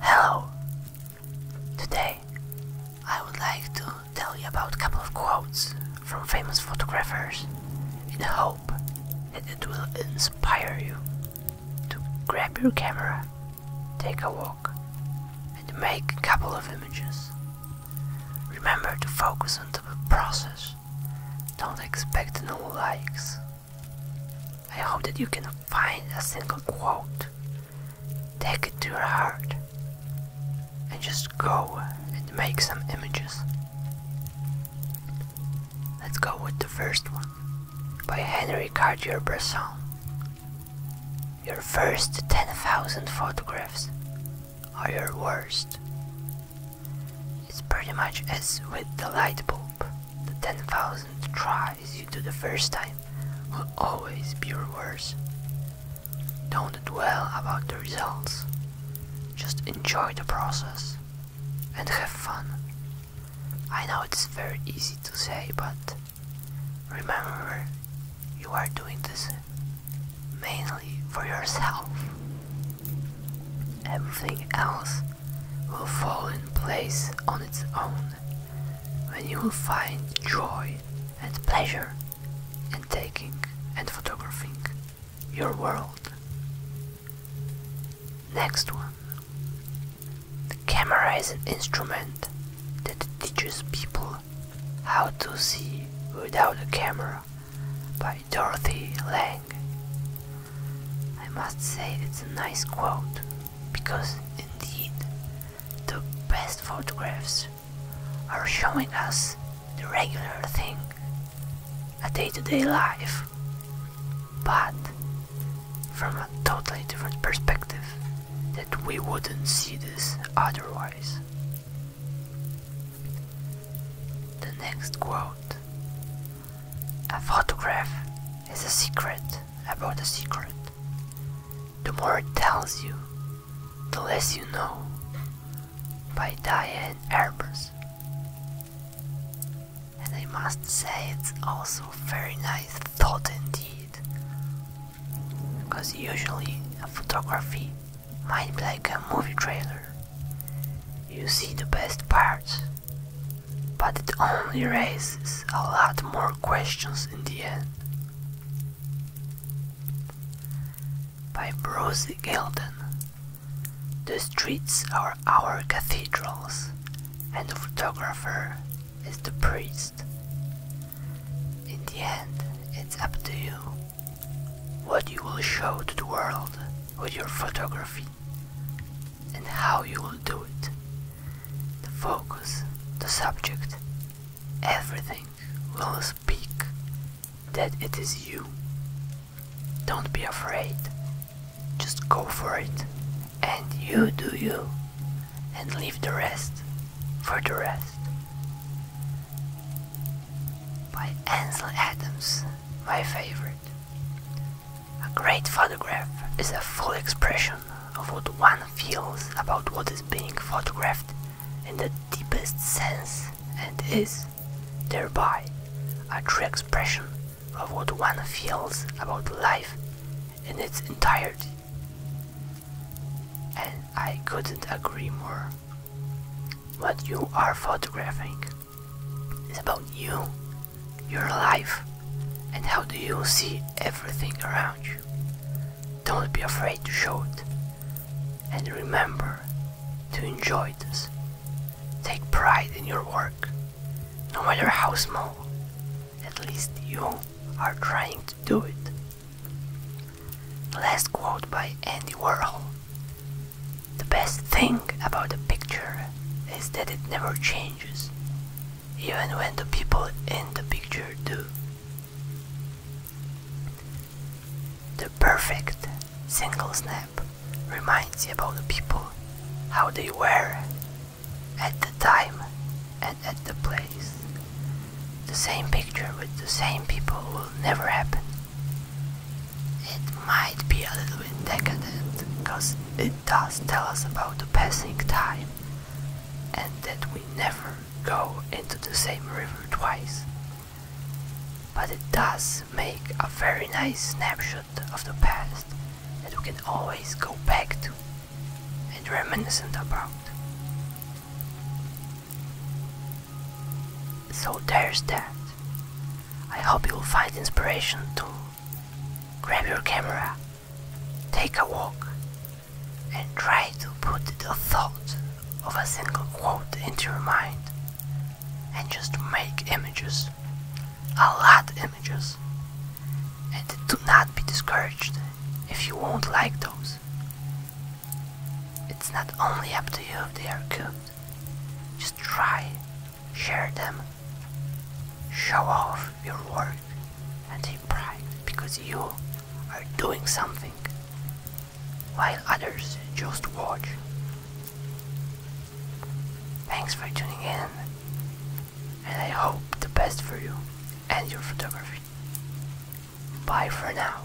Hello! Today I would like to tell you about a couple of quotes from famous photographers in hope that it will inspire you to grab your camera, take a walk, and make a couple of images. Remember to focus on the process, don't expect no likes. I hope that you can find a single quote, take it to your heart, and just go and make some images. Let's go with the first one by Henry Cartier Bresson. Your first 10,000 photographs are your worst. It's pretty much as with the light bulb the 10,000 tries you do the first time will always be your Don't dwell about the results, just enjoy the process and have fun. I know it's very easy to say, but remember you are doing this mainly for yourself. Everything else will fall in place on its own when you will find joy and pleasure in taking and photographing your world. Next one. The camera is an instrument that teaches people how to see without a camera by Dorothy Lang. I must say it's a nice quote because indeed the best photographs are showing us the regular thing, a day to day life, but from a totally different perspective that we wouldn't see this otherwise. The next quote a photograph is a secret about a secret. The more it tells you, the less you know. By Diane Arbus. And I must say it's also very nice thought indeed. Because usually a photography might be like a movie trailer. You see the best parts but it only raises a lot more questions in the end. By Bruce Gilden. The streets are our cathedrals, and the photographer is the priest. In the end, it's up to you what you will show to the world with your photography and how you will do it. The focus, the subject, everything will speak that it is you. Don't be afraid. Just go for it. And you do you. And leave the rest for the rest. By Ansel Adams, my favorite. A great photograph is a full expression of what one feels about what is being photographed in the deepest sense and is, thereby, a true expression of what one feels about life in its entirety. And I couldn't agree more. What you are photographing it's about you, your life, and how do you see everything around you. Don't be afraid to show it. And remember to enjoy this. Take pride in your work, no matter how small. At least you are trying to do it. Last quote by Andy Warhol the best thing about a picture is that it never changes, even when the people in the picture do. The perfect single snap reminds you about the people, how they were, at the time and at the place. The same picture with the same people will never happen. It might be a little bit decadent, because it does tell us about the passing time and that we never go into the same river twice. But it does make a very nice snapshot of the past that we can always go back to and reminisce about. So there's that. I hope you'll find inspiration to grab your camera, take a walk, and try to put the thought of a single quote into your mind and just make images, a lot images. And do not be discouraged if you won't like those. It's not only up to you if they are good, just try, share them, show off your work, and take pride because you are doing something while others just watch. Thanks for tuning in, and I hope the best for you and your photography. Bye for now.